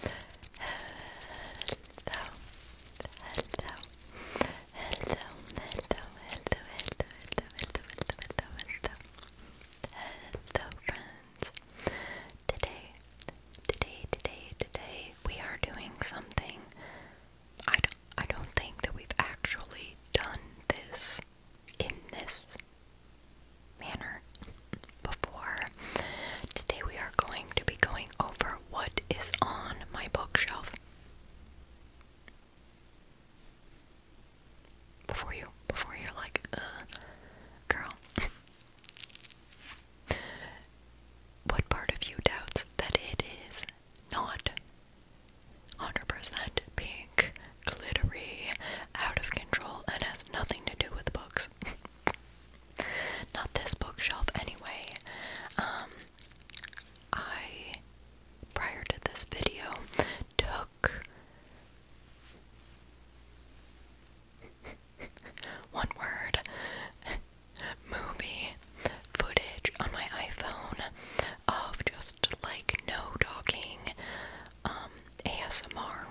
hello, hello, hello, hello, hello, hello, hello, hello, hello, hello, friends. Today, today, today, today, we are doing something. I don't, I don't think that we've actually done this in this manner before. Today we are going to be going over what is on my bookshelf. Before you, before you're like, girl. what part of you doubts that it is not 100% pink, glittery, out of control, and has nothing to do with books? Not this bookshelf, anyway. Um, I, prior to this video, took one word movie footage on my iPhone of just like no talking um ASMR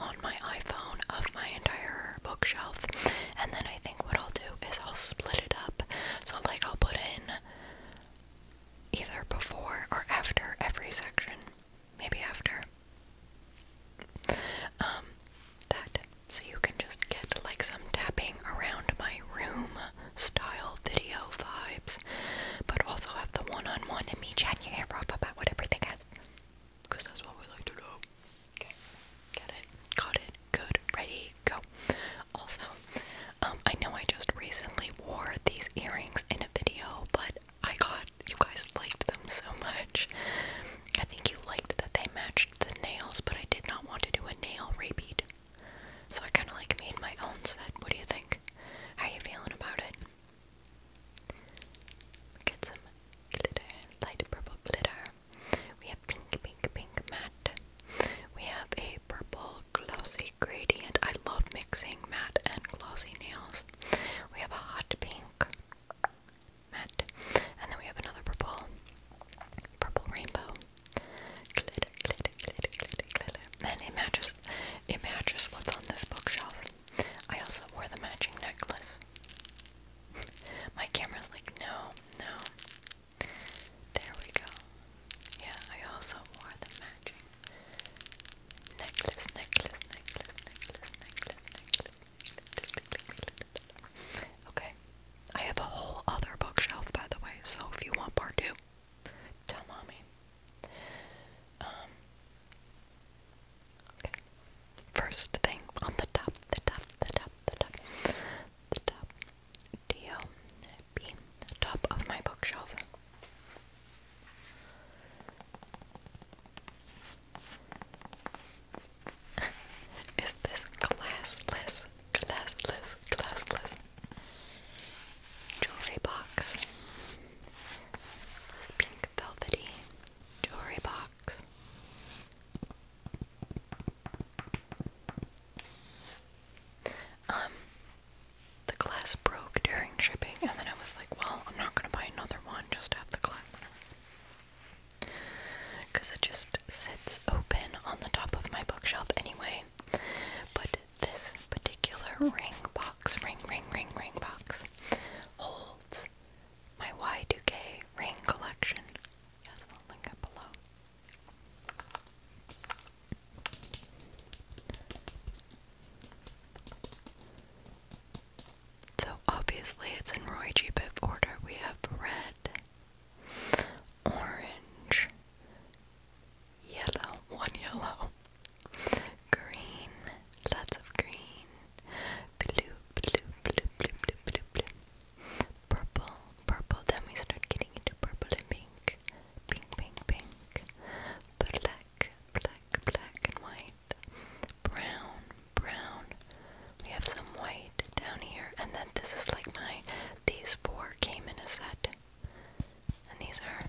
on my iPhone of my entire bookshelf, and then I think what I'll do is I'll split it up. So, like, I'll put in either before or after every section. Maybe after. Um, that. So you can just get like some tapping around my room style video vibes, but also have the one on one and me chatting your ear off about whatever everything is because that's what we like to do. Okay, got it, got it, good, ready, go. Also, um, I know I just recently wore these earrings in a video, but I got you guys liked them so much. I think you liked that they matched the nails, but I did not want to do a nail repeat. So I kind of like made my own set. What do you think? How you feeling about it? We get some glitter, light purple glitter. We have pink, pink, pink matte. We have a purple glossy gradient. I love mixing matte and glossy nails. We have a hot pink matte. And then we have another purple, purple rainbow. Glitter, glitter, glitter, glitter, glitter. And it matches, it matches what's on this bookshelf. I also wore the matching necklace. My camera's like, no, no. There we go. Yeah, I also wore the matching necklace, necklace, necklace, necklace, necklace, necklace. Okay. I have a whole other bookshelf, by the way, so if you want part two, tell mommy. Um, Okay. First thing on the top, the top, the top, the top, the top, D O B, the top of my bookshelf. Is this glassless, glassless, glassless jewelry box? This pink velvety jewelry box. Um, the glass broke during shipping, and then I was like, well, I'm not gonna buy another one, just have the glass. Because it just sits open on the top of my bookshelf anyway. But this particular ring box, ring, ring, ring, ring box, holds my y 2 ring collection. Yes, I'll link it below. So obviously it's in Roy G. Biv order. We have red, orange, yellow, one yellow, green, lots of green, Blue, blue, blue, blue, blue, blue, blue. Purple, purple. Then we start getting into purple and pink. Pink, pink, pink. Black, black, black and white. Brown, brown. We have some white down here. And then this is like my, these four came in a set. And these are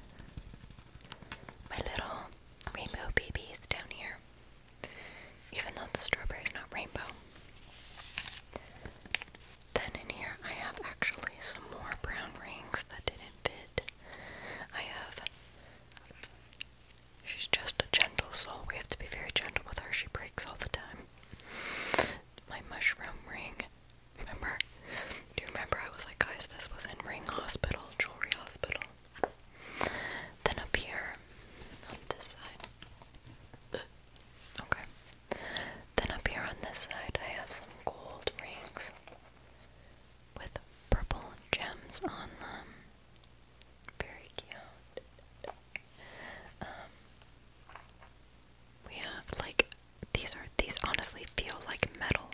my little rainbow babies down here even though the strawberry is not rainbow. Then in here I have actually some more brown rings that didn't fit. I have she's just a gentle soul. We have to be very gentle with her. She breaks all the time. My mushroom ring. Remember? Do you remember I was like, guys, this was in Ring Hospital, Jewelry Hospital. Then up here, on this side. Okay. Then up here on this side, I have some gold rings with purple gems on them. Very cute. Um, we have like these are these honestly feel like metal.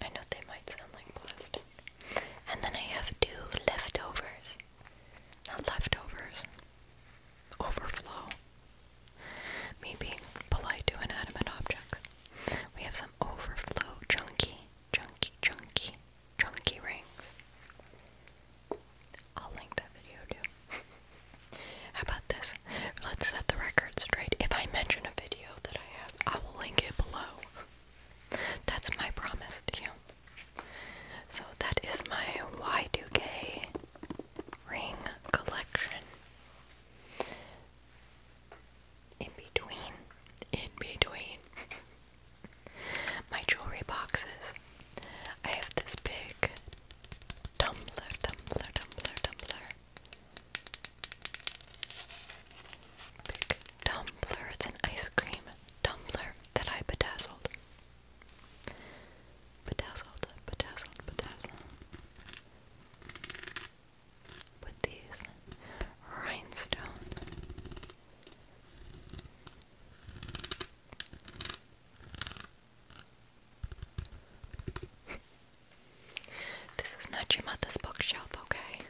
I know they might sound like plastic. And then I have two leftovers. Not leftovers. Overflow. Me being polite to inanimate objects. We have some overflow chunky, chunky, chunky, chunky rings. I'll link that video too. How about this? Let's set the record straight. If I mention a video that I have, I will link it below. That's my promise to you. So that is my Y2K ring collection. In between, in between my jewelry boxes, I have this big tumbler, tumbler, tumbler, tumbler. Big tumbler. It's an ice cream tumbler that I bedazzled. Bedazzled, bedazzled, bedazzled. With these rhinestones. this is not your mother's bookshelf, okay?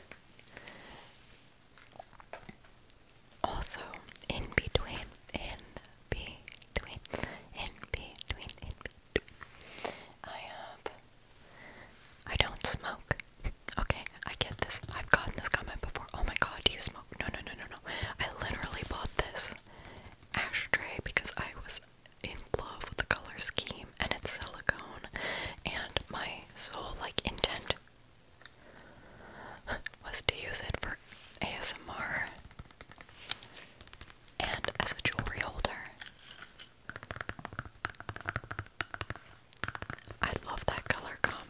Also, in between, in between, in between, in between, I have. I don't smoke. Okay, I get this. I've gotten this comment before. Oh my god, do you smoke? No, no, no, no, no. I literally bought this ashtray because I was in love with the color scheme and it's silicone and my sole like intent was to use it for ASMR and as a jewelry holder. I love that color combo.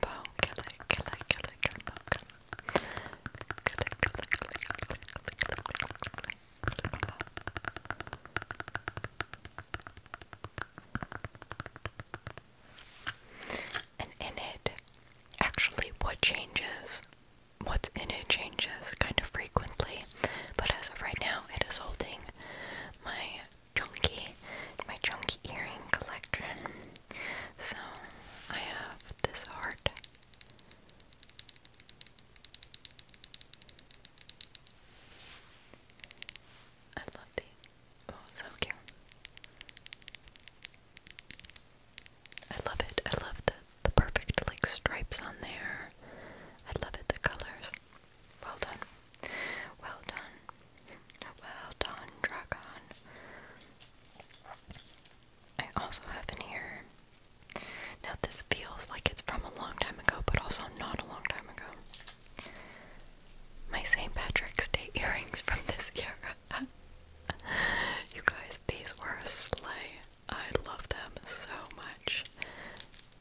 And in it, actually, what changes, what's in it changes kind of frequently. But as of right now, it is holding my chunky, my chunky earring collection. So I have this heart. I love these. Oh, so cute. I love it. I love the the perfect like stripes on there. I love it the colors. Well done. Well done. Well done, Dragon. I also have in here. Now this feels like it's from a long time ago, but also not a long time ago my St. Patrick's Day earrings from this year. you guys, these were a sleigh. I love them so much.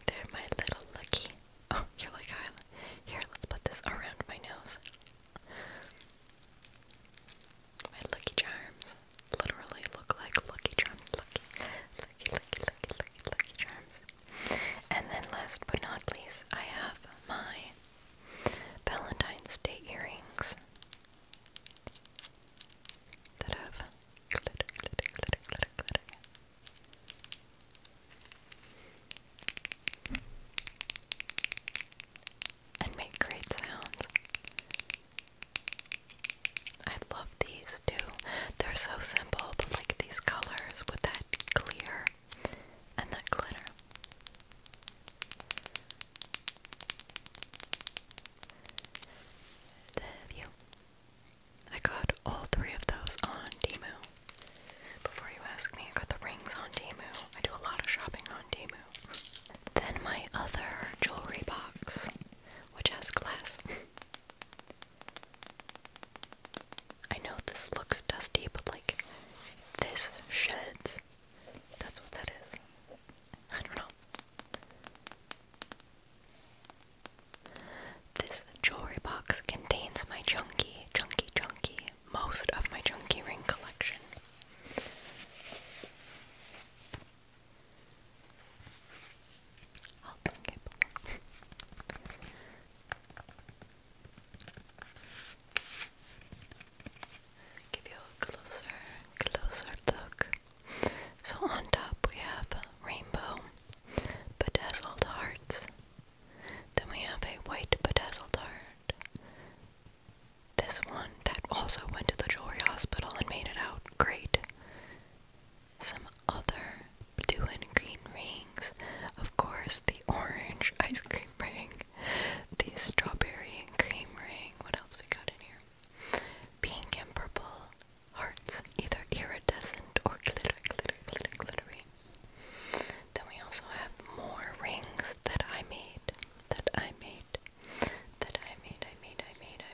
They're my little lucky. Oh, you're like, here, let's put this around my nose. My lucky charms literally look like lucky charms. lucky, lucky, lucky, lucky, lucky charms. And then last but not least, I have my Valentine's Day earrings that have glitter, glitter, glitter, glitter, glitter. And make great sounds. I love these too. They're so simple, but like these colors with the clear and that glitter. The view. I got all three of those on Temu. Before you ask me, I got the rings on Temu. I do a lot of shopping on Temu. Then my other jewelry box, which has glass. I know this looks dusty, but like this sheds. That's what that is. I don't know. This jewelry box contains my junky, junky, junky, most of my junky ring collection. I'll link it Give you a closer, closer look. So on top we have a rainbow bedazzled hearts. Then we have a white bedazzled heart. This one that also went to the jewelry hospital and made it out great other blue and green rings. Of course, the orange ice cream ring, the strawberry and cream ring. What else we got in here? Pink and purple hearts, either iridescent or glitter, glitter, glitter, glittery. Then we also have more rings that I made, that I made, that I made, I made, I made, I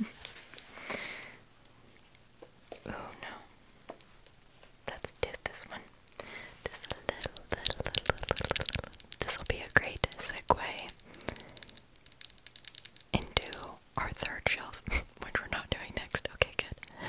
made. Oh no. Let's do this one. This little, little, little, little, little. This will be a great segue into our third shelf, which we're not doing next. Okay, good.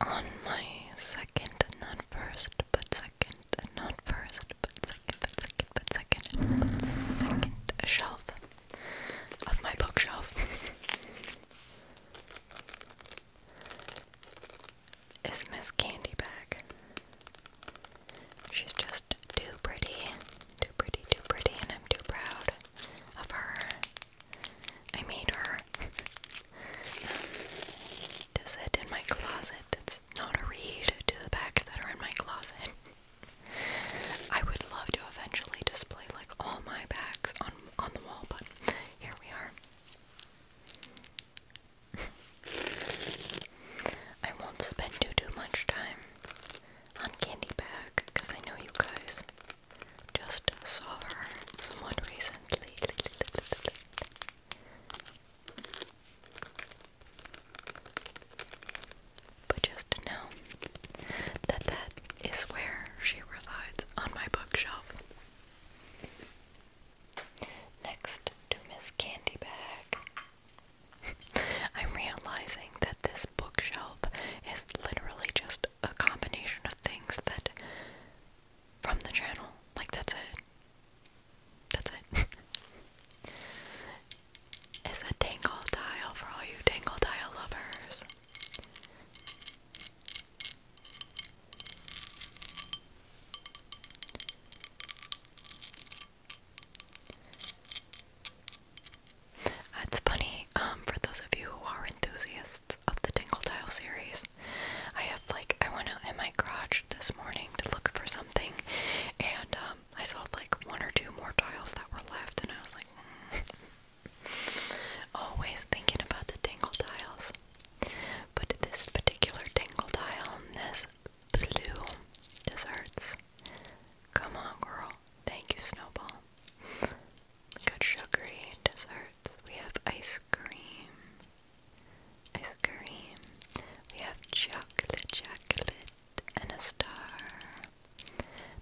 On my second, not first, but second, not first, but second, second, but second, second shelf of my bookshelf is Miss Candy Bag. She's just too pretty. Too pretty, too pretty, and I'm too proud of her. I made her. to sit in my closet that's not a read to the bags that are in my closet. I would love to eventually display like all my bags on on the wall, but here we are. I won't spend too too much time on Candy Bag because I know you guys just saw her someone recently. But just know that that is where she resides on my bookshelf. Next to Miss Candy Bag I'm realizing that this bookshelf is literally just a combination of things that from the channel. Like that's it. That's it. it's a tangle dial for all you tangle dial lovers. That's funny, um, for those of you who are enthusiasts of the Tingle Tile series, I have like, I went out in my garage this morning to look for something, and um, I saw like one or two more tiles that were left, and I was like, mm. always thinking about the Tingle Tiles. But this particular Tingle Tile, this blue desserts Come on, girl. Thank you, Snowball. Good sugary desserts. We have ice cream. Ice cream. We have chocolate, chocolate, and a star.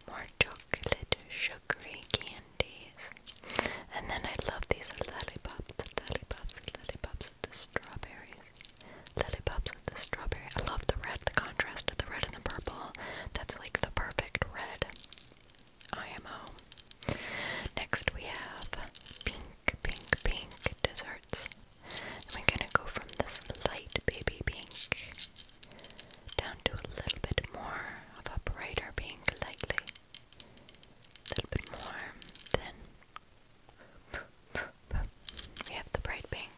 More chocolate, sugary candies. And then I love these lollipops, lollipops, lollipops, the strawberries lollipops with the strawberry. I love the red, the contrast of the red and the purple. That's like the perfect red. IMO. Next we have pink, pink, pink desserts. And we gonna go from this light baby pink down to a little bit more of a brighter pink, lightly. A little bit more. Then we have the bright pink.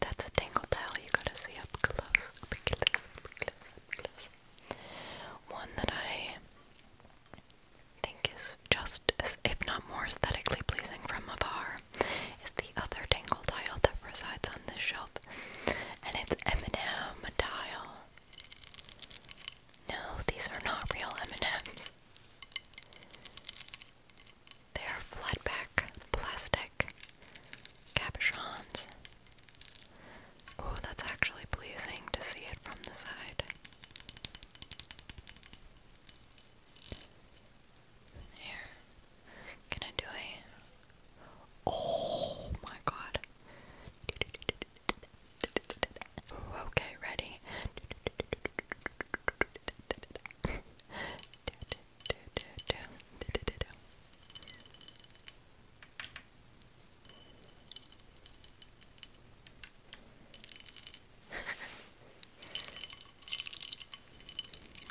That's a tangle towel you gotta see up close, up close, up close, up close. One that I think is just as, if not more aesthetically pleasing from afar, is the other tangle tile that resides on this shelf, and it's M&M tile. No, these are not real M&Ms. They are flatback plastic capuchons. Oh, that's actually pleasing to see it from the side. Here. Can I do a Oh my god. Okay, ready.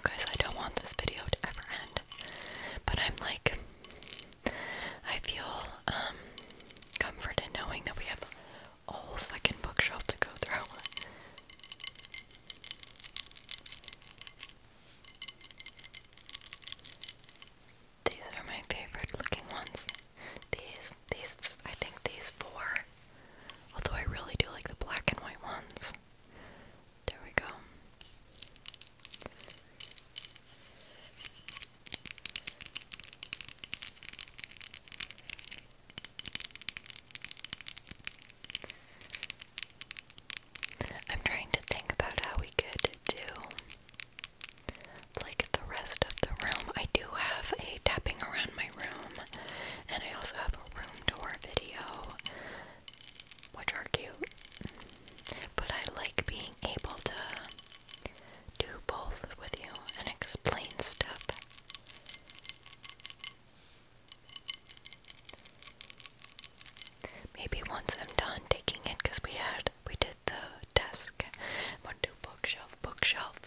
Guys, I don't want this video to ever end, but I'm like, I feel um, comfort in knowing that we have whole second bookshelf to go through. These are my favorite looking ones. These, these, I think these four. Although I really do like the black and white ones. There we go. I'm trying to think about how we could do like the rest of the room. I do have a tapping around my room, and I also have a room door video, which are cute. But I like being able to do both with you and explain stuff. Maybe once I'm done taking it, because we had we did the desk, we'll bookshelf, bookshelf.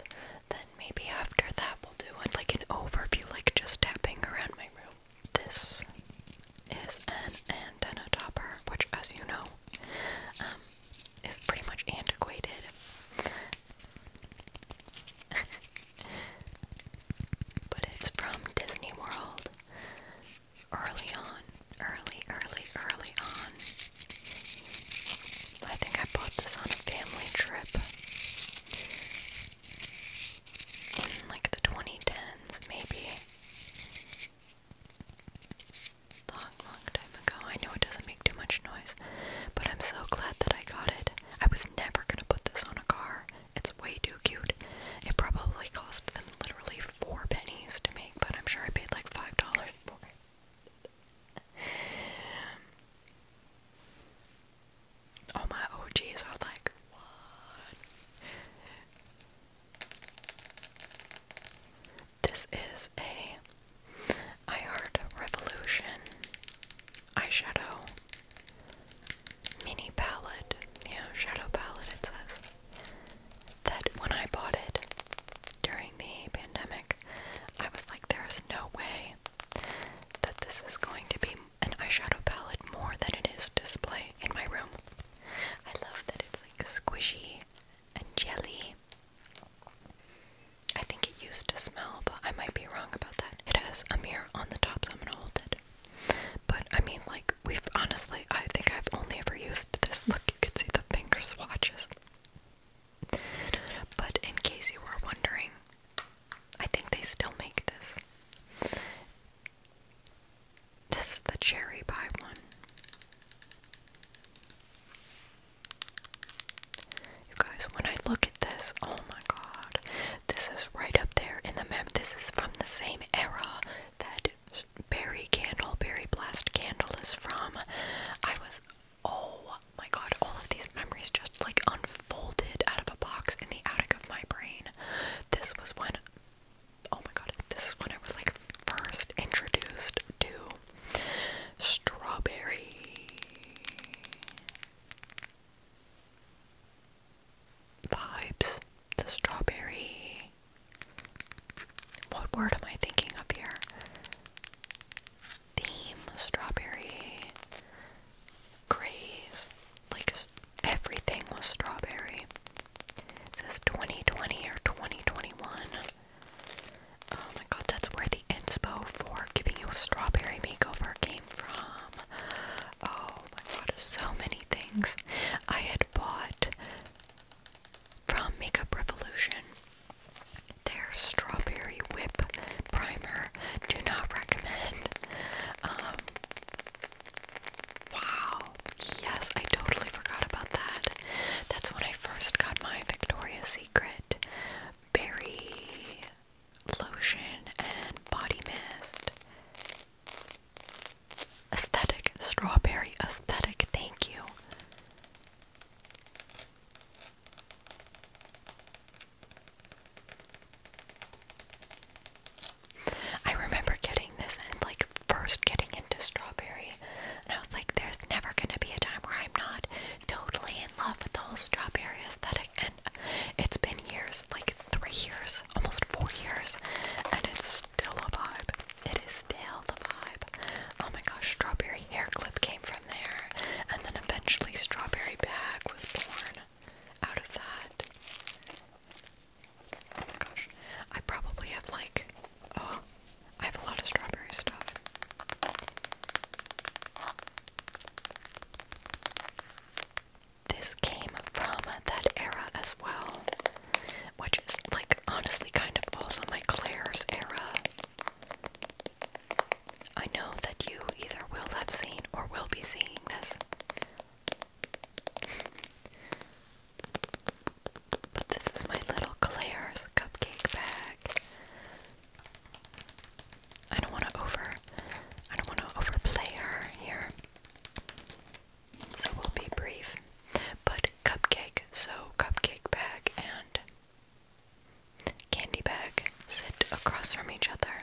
Then maybe after that we'll do one like an overview, like just tapping around my room. This is an antenna topper, which, as you know, um, is pretty much antiquated. but it's from Disney World. Early on, early, early, early on. I think I bought this on a family trip in like the 2010s, maybe. Long, long time ago. I know it doesn't too much noise. But I'm so glad that I got it. I was never gonna put this on a car. It's way too cute. It probably cost them literally four pennies to make, but I'm sure I paid like five dollars for it. All my OGs are like, what? This is a I Heart Revolution eyeshadow mini palette. Yeah, shadow palette it says. That when I bought it during the pandemic, I was like, there is no way that this is going to be an eyeshadow palette more than it is display in my room. I love that it's like squishy and jelly. I think it used to smell, but I might be wrong about that. It has a mirror on the top, so I'm gonna hold it. But I mean, like, we've honestly, I think I've only ever used this. Look, you can see the finger swatches. But in case you are wondering, I think they still make this. This is the cherry pie one. You guys, when I look at this, oh my god, this is right up there in the map. This is from the same era that Berry Candle, Berry Blast Candle is from. I was, oh my god, all of these memories just like unfolded out of a box in the attic of my brain. This was when, oh my god, this is when I was like first introduced to Strawberry. Vibes. The strawberry. What word am I thinking of here? Theme. Strawberry. Graze. Like everything was strawberry. It says 2020 or 2021. Oh my god, that's where the inspo for giving you a strawberry makeover came from. Oh my god, so many things I had bought from Makeup Revolution. Their strawberry whip primer. Do not recommend. Um, wow. Yes, I totally forgot about that. That's when I first got my Victoria's Secret berry lotion and body mist. Aesthetic, strawberry aesthetic, thank you. I remember getting this and like first getting into strawberry, and I was like, there's never gonna be a time where I'm not totally in love the whole strawberry aesthetic, and it's been years like three years, almost four years, and it's still a vibe. It is still the vibe. Oh my gosh, strawberry hair clip came from there, and then eventually, strawberry bag was born out of that. Oh my gosh, I probably have like, oh, I have a lot of strawberry stuff. This came from that era as well, which is like honestly kind of also my Claire's era. I know that you either will have seen or will be seeing this. But this is my little Claire's cupcake bag. I don't want to over. I don't want to overplay her here. So we'll be brief. But cupcake, so cupcake bag and candy bag sit across from each other.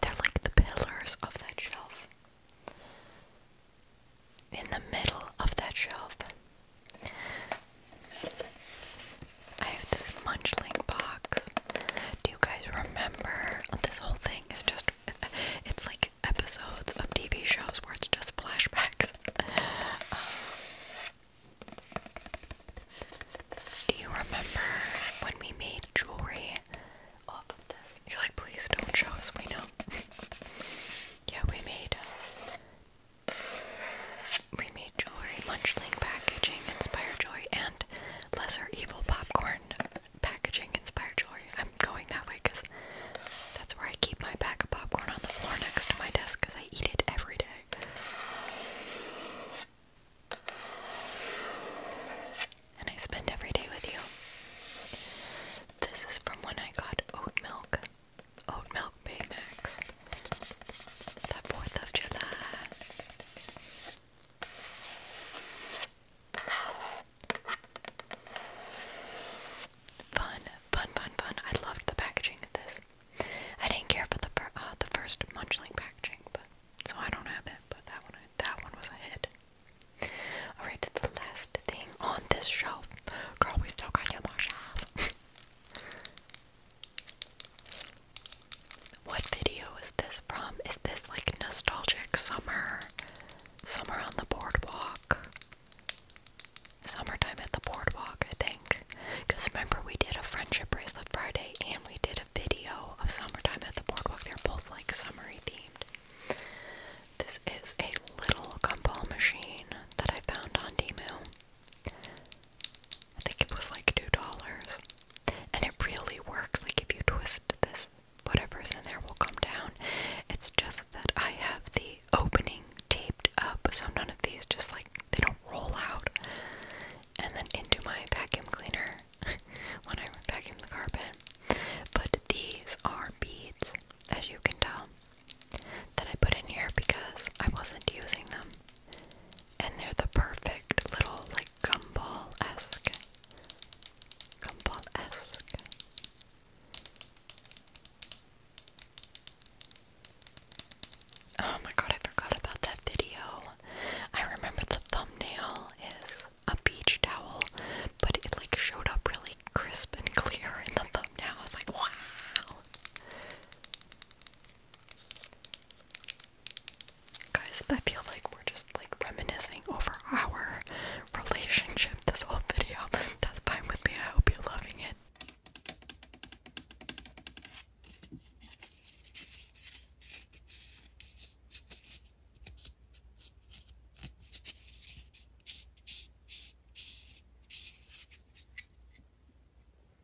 They're like the pillars of that shelf. In the middle of that shelf I have this munchling box. Do you guys remember this whole thing? It's just, it's like episodes of TV shows where it's just flashbacks. Um, do you remember when we made jewelry off of this? You're like, please don't show us, we know. yeah, we made uh, we made jewelry, munchling packaging, inspire joy, and lesser evil popcorn packaging, inspire joy. I'm going that way because that's where I keep my bag of popcorn on the floor next to my desk because I eat it every day. And I spend every day with you. This is from when I got oat milk oat milk picnics. The 4th of July. Fun, fun, fun, fun. I loved the packaging of this. I didn't care for the uh, the first munchling packaging, but so I don't have it. But that one, that one was a hit. All right, the last thing on this shelf, girl, we still got your more shelf. What video is this from? Is this like nostalgic summer? Summer on the boardwalk? Summertime at the boardwalk, I think. Because remember, we did a friendship bracelet Friday and we did a video of summertime at the boardwalk. They're both like summery themed. This is a little gumball machine that I found on Demu. I think it was like $2. And it really works. Like, if you twist this, whatever's in there will come down. It's just that I have the opening taped up, so none of these just like they don't roll out. And then into my vacuum cleaner when I vacuum the carpet. But these are beads, as you can tell, that I put in here because I wasn't using them and they're the perfect little like gumball-esque, gumball-esque. Oh my god, I forgot about that video. I remember the thumbnail is a beach towel, but it like showed up really crisp and clear in the thumbnail. I was like, wow. Guys, I feel like we're just like reminiscing over our relationship this whole video. That's fine with me. I hope you're loving it.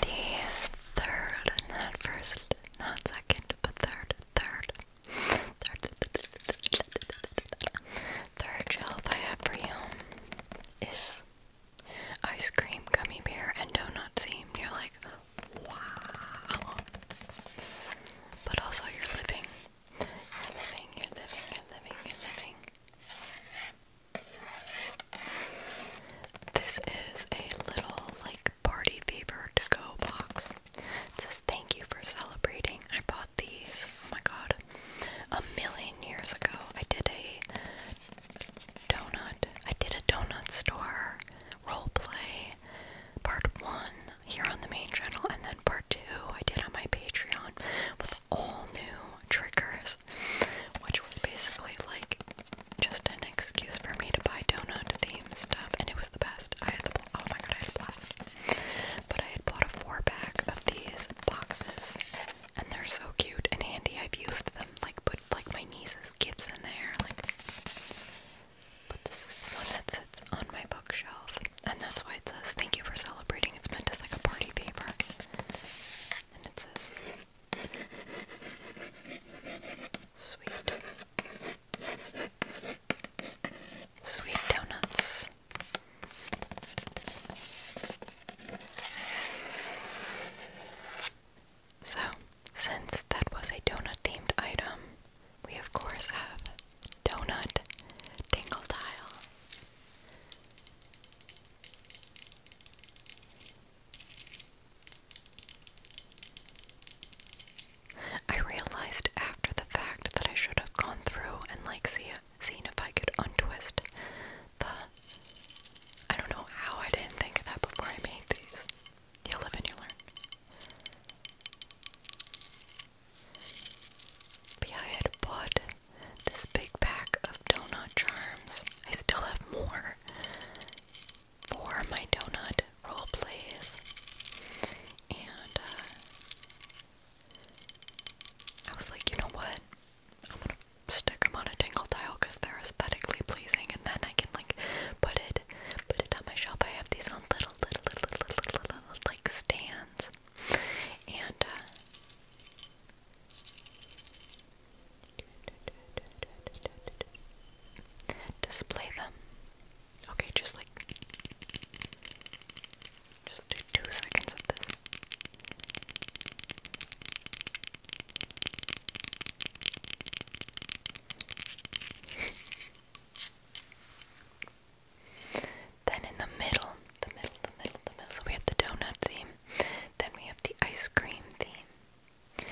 The third, not first, not second, but third, third, third, third I have for you is ice cream, gummy bear, and donut theme. You're like, Wow. But also you're living. You're living, you're living, you're living, you're living. This is a little like party fever to go box. It says thank you for celebrating. I bought these. Oh my god. A million years ago. I did a donut. I did a donut store role play part one here on the main channel, and then part two I did on my Patreon with all new triggers, which was basically like just an excuse for me to buy donut themed stuff, and it was the best. I had the oh my god, I had a blast! But I had bought a four pack of these boxes, and they're so cute and handy. I've used them like like my niece's gifts in there, like. But this is the one that sits on my bookshelf, and that's why it says "Thank you for celebrating." It's meant as like a party paper, and it says "Sweet, sweet donuts." So, since that was a donut themed item, we of course have Donut Tingle Tile. I realized after the fact that I should have gone through and like seen if I could untwist the I don't know how I didn't think of that before I made these. You live and you learn. But yeah, I had bought this big pack of donut charms. I still have more for my donut role plays. And uh, I was like, you know what? I'm gonna stick them on a tingle tile they're aesthetically pleasing and then I can like put it put it on my shelf. I have these on little little little little little, little, like stands and uh, display them. Okay, just like just do two seconds of this. Then in the middle, So we have the donut theme. Then we have the ice cream theme.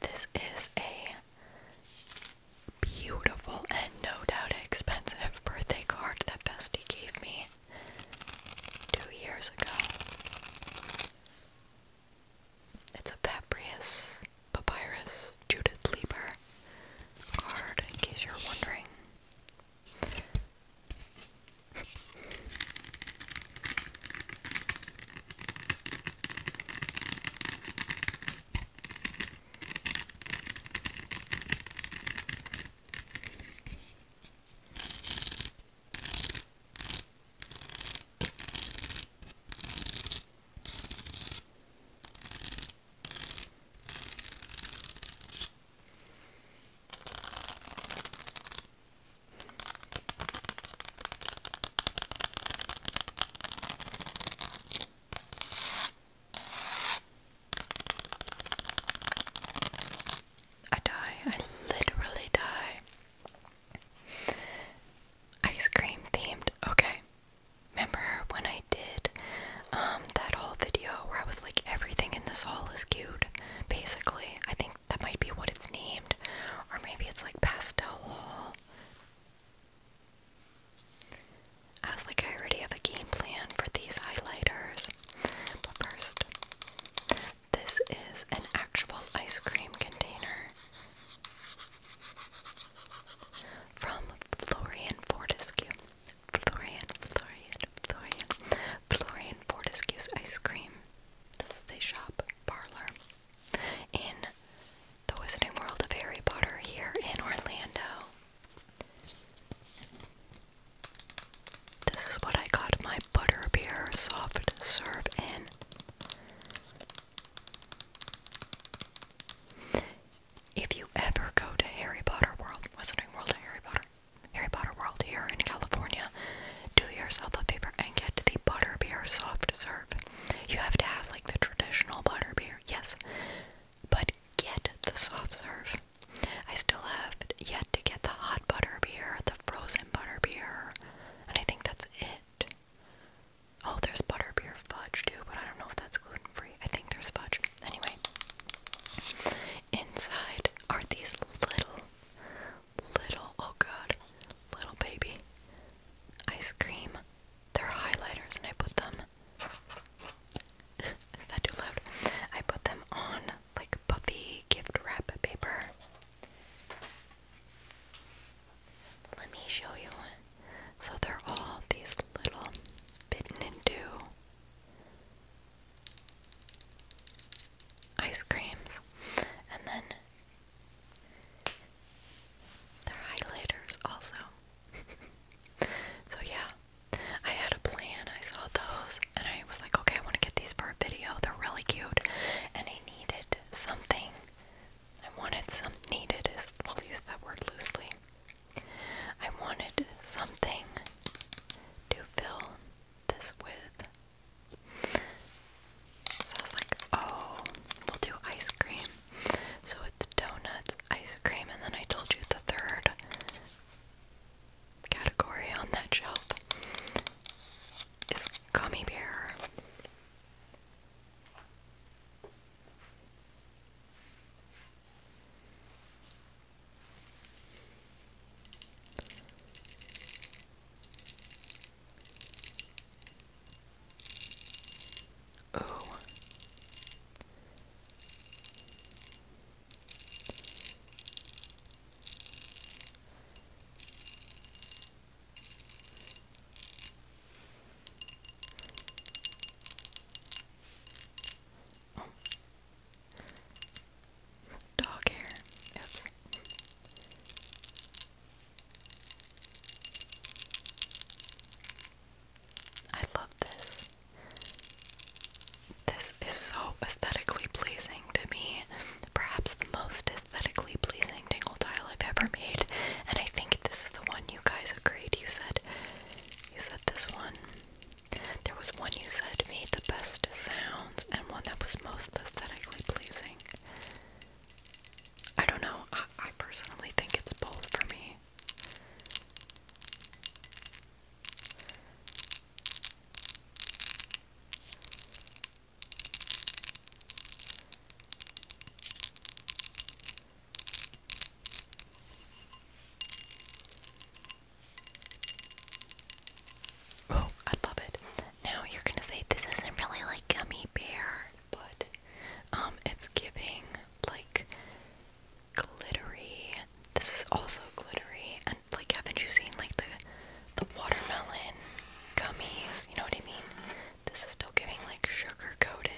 This is a beautiful and no doubt expensive birthday card that Bestie gave me two years ago. It's a Paprius Papyrus Judith Lieber card, in case you're wondering. I die, I literally die. Ice cream themed. Okay. Remember when I did um, that whole video where I was like everything in this hall is cute, basically. I think that might be what it's named. Or maybe it's like pastel wall. I was like, I already have a game plan for these highlighters. But first, this is an actual ice cream container. From Florian Fortescue. Florian, Florian, Florian. Florian Fortescue's Ice Cream. This is a shop parlor in the Wizarding World of Harry Potter here in Orlando. This is what I got my butterbeer soft serve in. If you ever go to Harry Potter World, Wizarding World, Harry Potter, Harry Potter World here in California, do yourself a favor and get the butterbeer soft serve. You have to have like the traditional butterbeer, yes, but get the soft serve. I still have yet to get the hot butterbeer, the frozen butterbeer, and I think that's it. Oh, there's butterbeer fudge too, but I don't know if that's gluten free. I think there's fudge. Anyway, inside are these little, little, oh god, little baby ice cream. They're highlighters, and I put them. Is that too loud? I put them on like buffy gift wrap paper let me show you So they're all these little bitten into ice creams. And then they're highlighters also. so yeah, I had a plan. I saw those and I was like, okay, I want to get these for a video. They're really cute. And I needed something I wanted some needed is will use that word loosely. I wanted something to fill this with. So I was like, oh, we'll do ice cream. So it's donuts, ice cream, and then I told you the third category on that shelf. It's gummy bear. Oh. Dog hair. Oops. I love this. This is so aesthetically pleasing to me perhaps the most aesthetically pleasing tingle tile I've ever made. And I think this is the one you guys agreed. You said, you said this one. There was one you said made the best sounds, and one that was most aesthetically pleasing. I don't know. I, I personally think it's both for me. Oh, I love it. Now you're gonna say this isn't really like gummy bear, but um it's giving like glittery. This is also glittery and like haven't you seen like the the watermelon gummies, you know what I mean? This is still giving like sugar coated.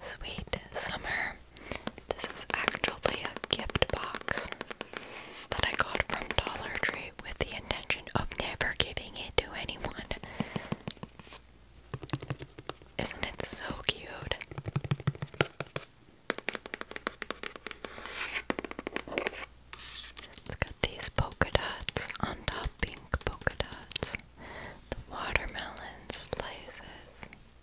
Sweet Summer. This is actually a gift box that I got from Dollar Tree with the intention of never giving it to anyone. Isn't it so cute? It's got these polka dots on top, pink polka dots, the watermelon slices,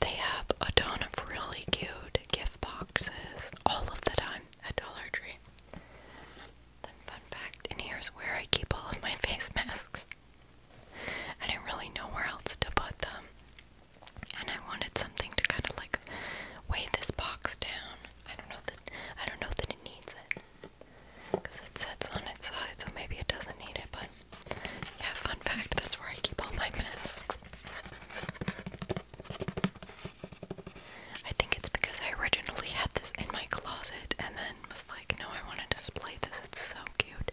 They have a ton of really cute gift boxes all of the time A Dollar Tree. fun fact, and here's where I keep all of my face masks. I didn't really know where else to put them. And I wanted something to kind of like weigh this box down. I don't know that I don't know that it needs it because it sits on its side, so maybe it doesn't need it. But yeah, fun fact that's where I keep all my masks. I think it's because I originally had this in my closet and then was like, no, I want to display this, it's so cute.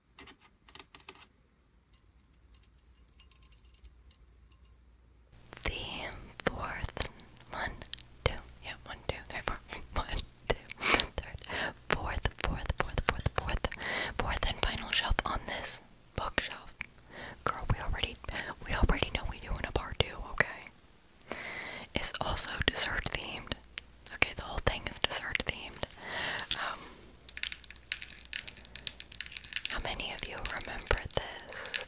The fourth one, two, yeah, one, two, three, four, one, two, third, fourth, fourth, fourth, fourth, fourth, fourth, and final shelf on this bookshelf. Girl, we already, we already know we doing a bar too, okay? It's also dessert themed. Okay, the whole thing is dessert themed. Um, how many of you remember this?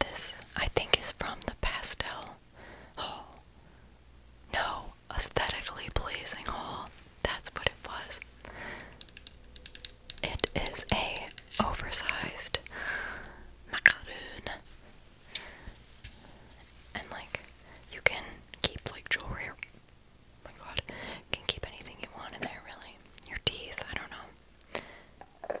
This, I think, is from the pastel haul. No, aesthetically pleasing haul. That's what it was. It is a oversized macaroon. And like you can keep like jewelry oh my god, can keep anything you want in there really. Your teeth, I don't know.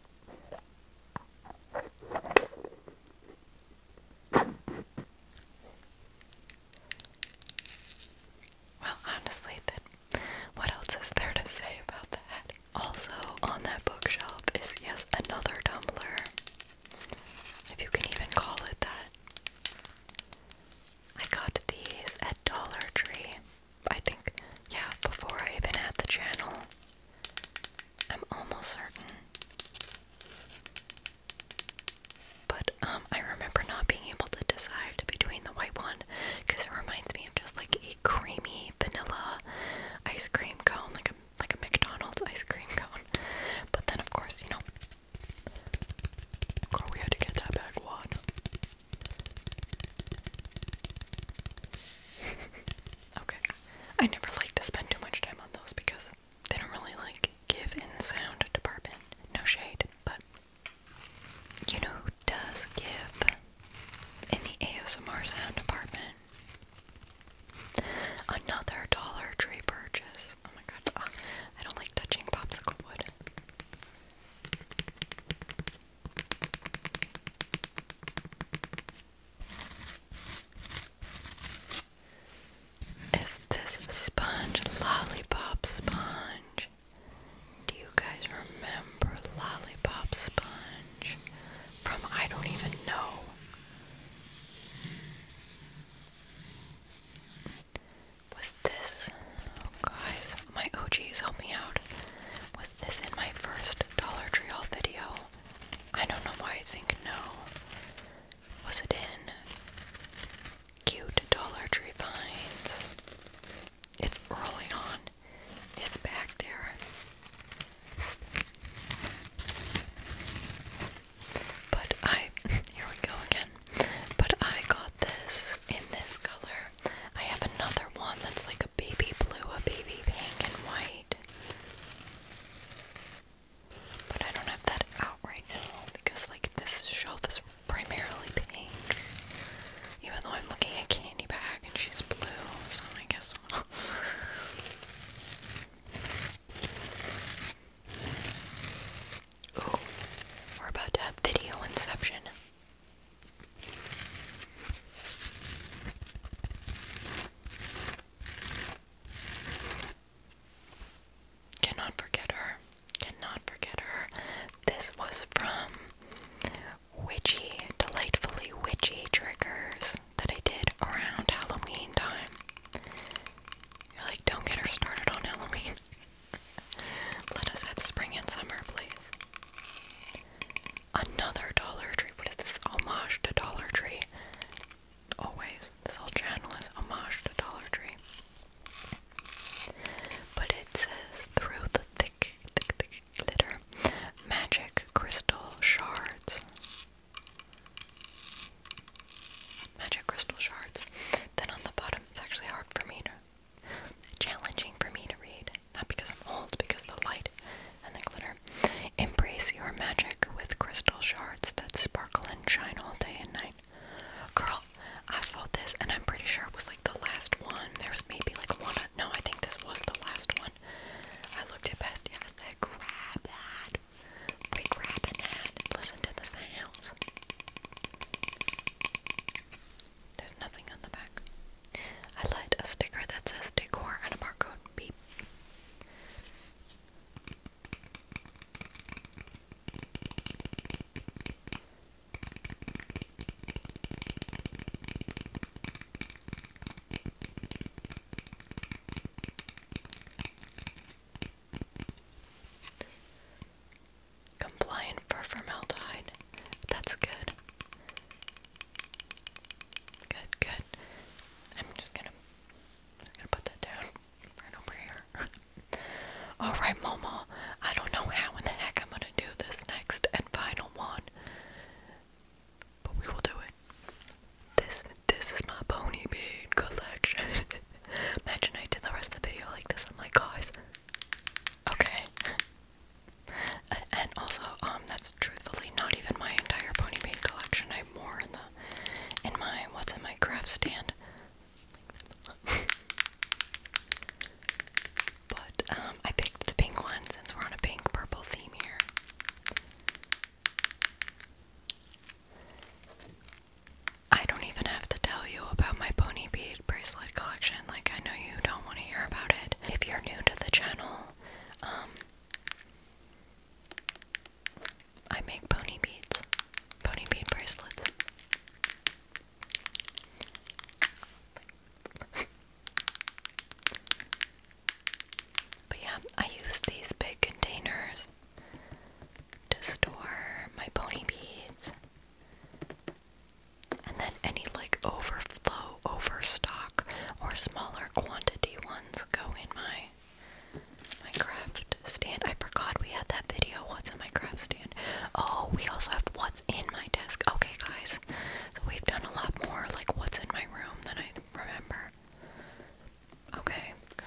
Well, honestly, then, what else is there to say about that? Also, on that bookshelf is yes another tumbler, if you can even call it that. I got these at Dollar Tree. I think, yeah, before I even had the channel. I'm almost certain. But um, I remember not being able to decide between the white one it reminds me of just like a creamy vanilla ice cream cone, like a like a McDonald's ice cream cone. But then of course, you know, girl, we had to get that back one. Okay. I never like to spend too much time on those because they don't really like give in the sound department. No shade, but you know who does give in the ASMR sound department? Another Dollar Tree purchase. Oh my god. I don't like touching popsicle wood. Is this sponge lollipop sponge? Do you guys remember lollipop sponge from I don't even know? Was this, oh guys, my OGs help me out. Was this in my first Dollar Tree haul video? I don't know why I think no. Was it in cute Dollar Tree finds? It's early on. It's back there. But I here we go again. But I got this in this color. I have another one that's like a baby blue, a baby pink and white. But I don't have that out right now because, like, this shelf is primarily pink. Even though I'm looking at Candy Bag and she's blue, so I guess. we're about to have video inception. Cannot forget her. Cannot forget her. This was from witchy, delightfully witchy triggers that I did around Halloween time. You're like, don't get her started on Halloween. Let us have spring and summer, please. Another Dollar Tree. What is this? Homage to Dollar Tree. Always. This whole channel is homage to Dollar Tree. But it says through the thick, thick, thick glitter, magic crystal shards. Magic crystal shards. Then on the bottom, it's actually hard for me to. Challenging for me to read not because I'm old, because the light and the glitter. Embrace your magic with crystal shards that sparkle and shine all day and night. Girl, I saw this and I'm pretty sure it was like the last one. There maybe like one. No, I think this was the last one. I looked at past grab that. We grabbing that. Listen to the sounds. There's nothing on the back. I light a sticker that says decor and a barcode. B Compliant for formaldehyde. That's good. Good, good. I'm just gonna, gonna put that down right over here. All right, Mama. I don't know how in the heck I'm gonna do this next and final one, but we will do it. This, this is my pony bead collection. Imagine I did the rest of the video like this. I'm like, guys, okay. And also, um, that's truthfully not even my entire pony bead collection. I have more in the in my what's in my craft stand. but um, I picked the pink one since we're on a pink purple theme here. I don't even have to tell you about my pony bead bracelet collection. Like I know you don't want to hear about it. If you're new to the channel, um, I make pony beads, pony bead bracelets. but yeah, I use these big containers to store my pony beads. And then any like overflow overstock or smaller quantity ones go in my my craft stand. I forgot we had that video. What's in my craft stand? Oh, we also have what's in my desk. Okay, guys. So we've done a lot more like what's in my room than I remember. Okay, good.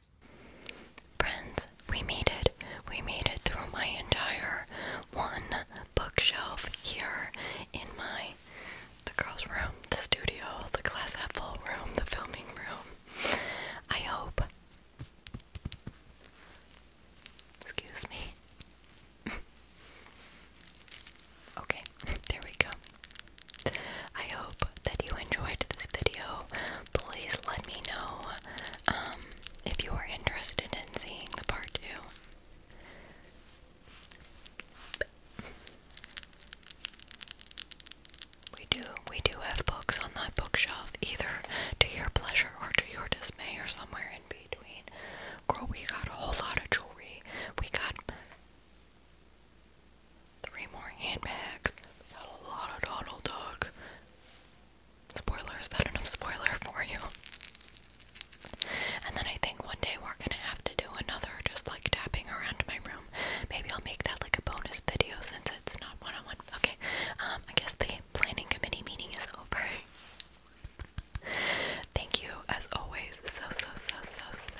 Friends, we made it. We made it through my entire one bookshelf here in my the girls' room, the studio, the glass half full room, the filming room. I hope. Excuse me. okay, there we go. I hope that you enjoyed this video. Please let me know um, if you are interested in seeing the part two. We do we do have books on that bookshelf, either to your pleasure or to your dismay or somewhere in between. Girl, we got a whole lot of jewelry. We got Three more handbags. got a lot of Donald Duck. Spoiler, is that enough spoiler for you? And then I think one day we're gonna have to do another just like tapping around my room. Maybe I'll make that like a bonus video since it's not one on one. Okay, um, I guess the planning committee meeting is over. Thank you as always so so so so so